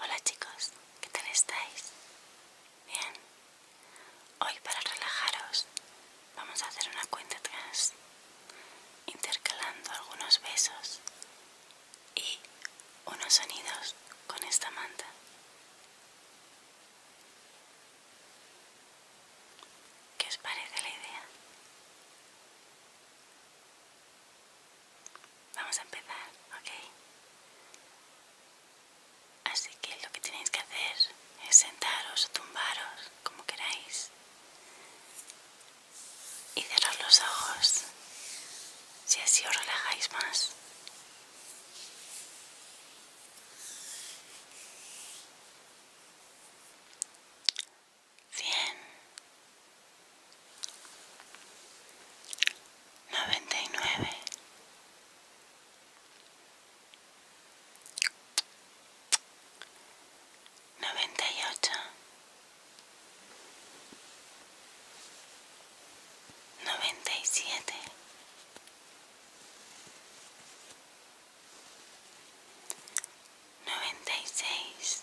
Hola chicos, ¿qué tal estáis? Bien. Hoy para relajaros vamos a hacer una cuenta atrás intercalando algunos besos y unos sonidos con esta manta. ¿Qué os parece la idea? Vamos a empezar, ¿ok? Así que lo que tenéis que hacer es sentaros o tumbaros, como queráis, y cerrar los ojos, si así os relajáis más. 100. 99. 98. 97. 96.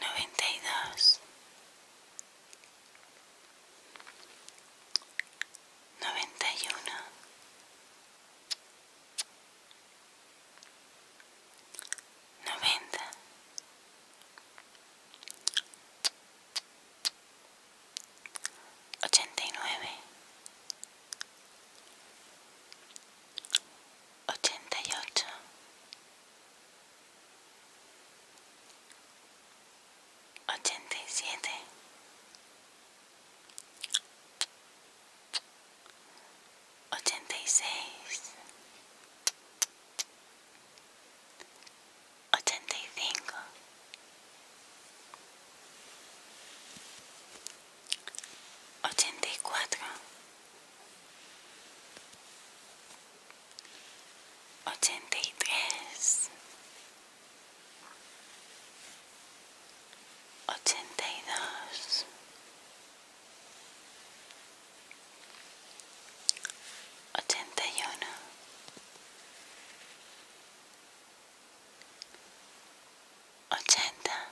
92, 91, 90, 89, 88. 87 86 85 84 ochenta y tres, ochenta y dos, ochenta y uno, ochenta.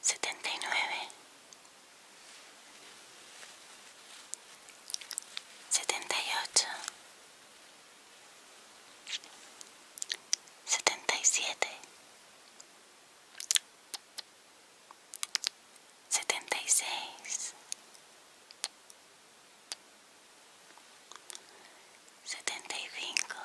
79 78 77 76 75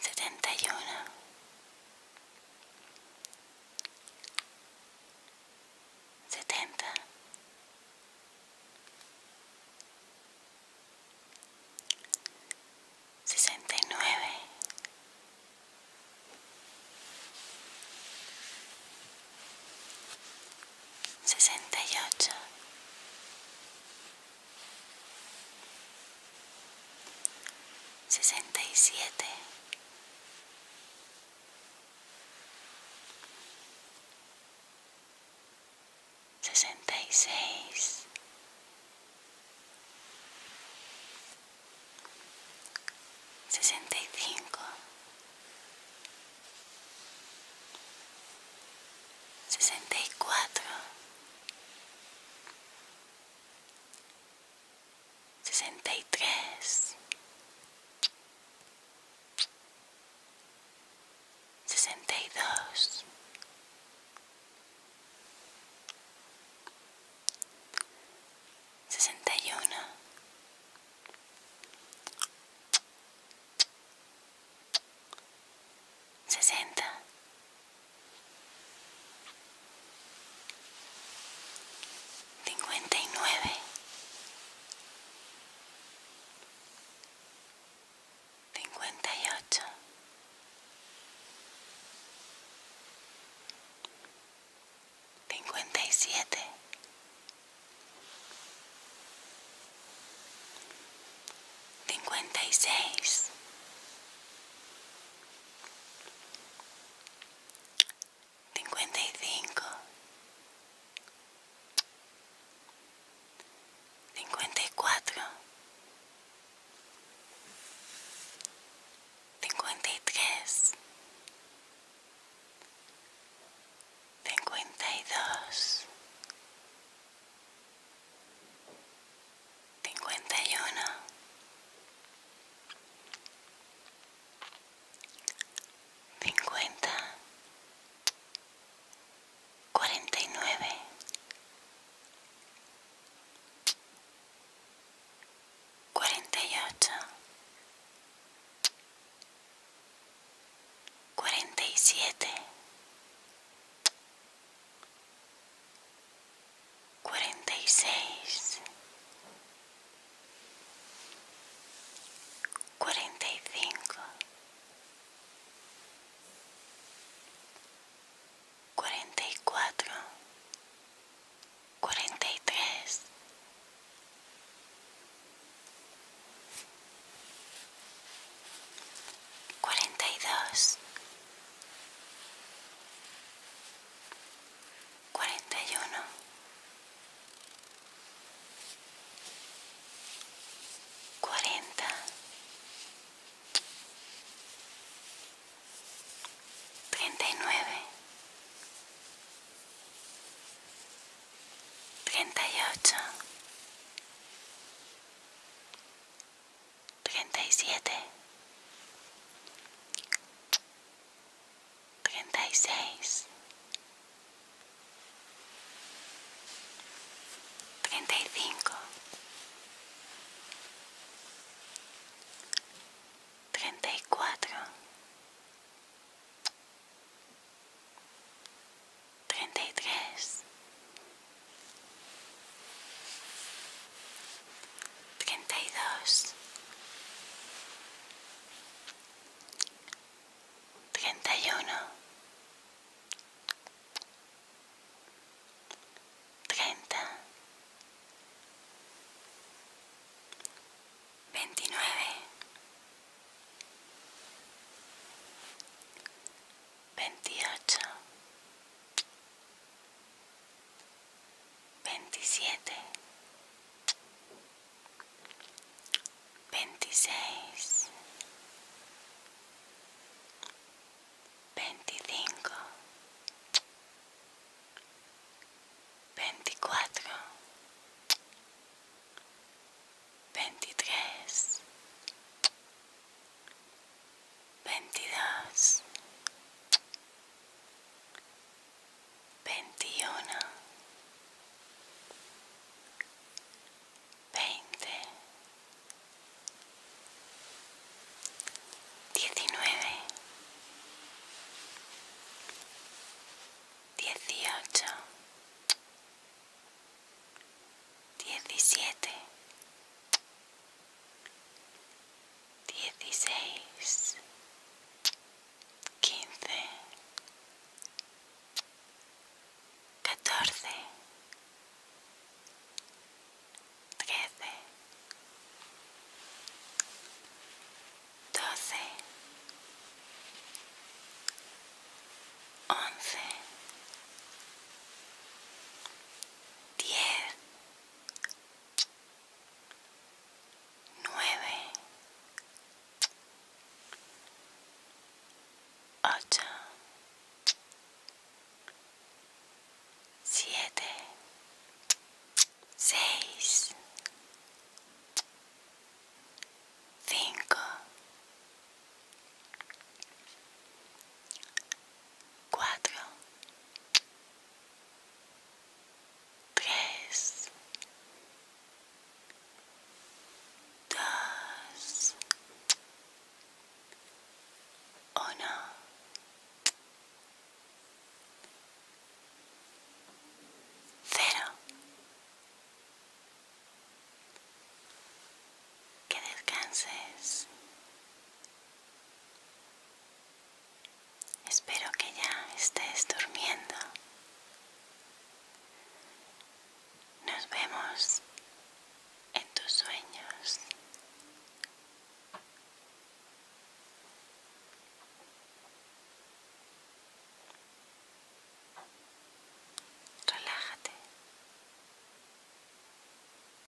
setenta y uno, setenta, sesenta y nueve, sesenta y ocho, sesenta y siete sesenta y seis sesenta y cinco sesenta y cuatro sesenta y tres, sesenta y dos, sesenta y uno, sesenta. 59 58 57 56 55 54 53 52 51 50 49 48 47 cuarenta y seis, cuarenta y cinco, cuarenta y cuatro, cuarenta y tres. Cuarenta y dos, 41 40 39 38 37 36 35 34 33 treinta y dos, treinta y uno, treinta, veintinueve, veintiocho veintisiete, veintiséis, veinticinco, veinticuatro, veintitrés, veintidós, veintiuno, veinte, diecinueve, dieciocho, diecisiete dieciséis, quince, catorce, trece, doce, once, diez nueve, ocho, siete, seis, cinco, cuatro, tres, dos, uno. Cero. Que descanses. Espero que ya estés durmiendo. Nos vemos en tus sueños. Relájate.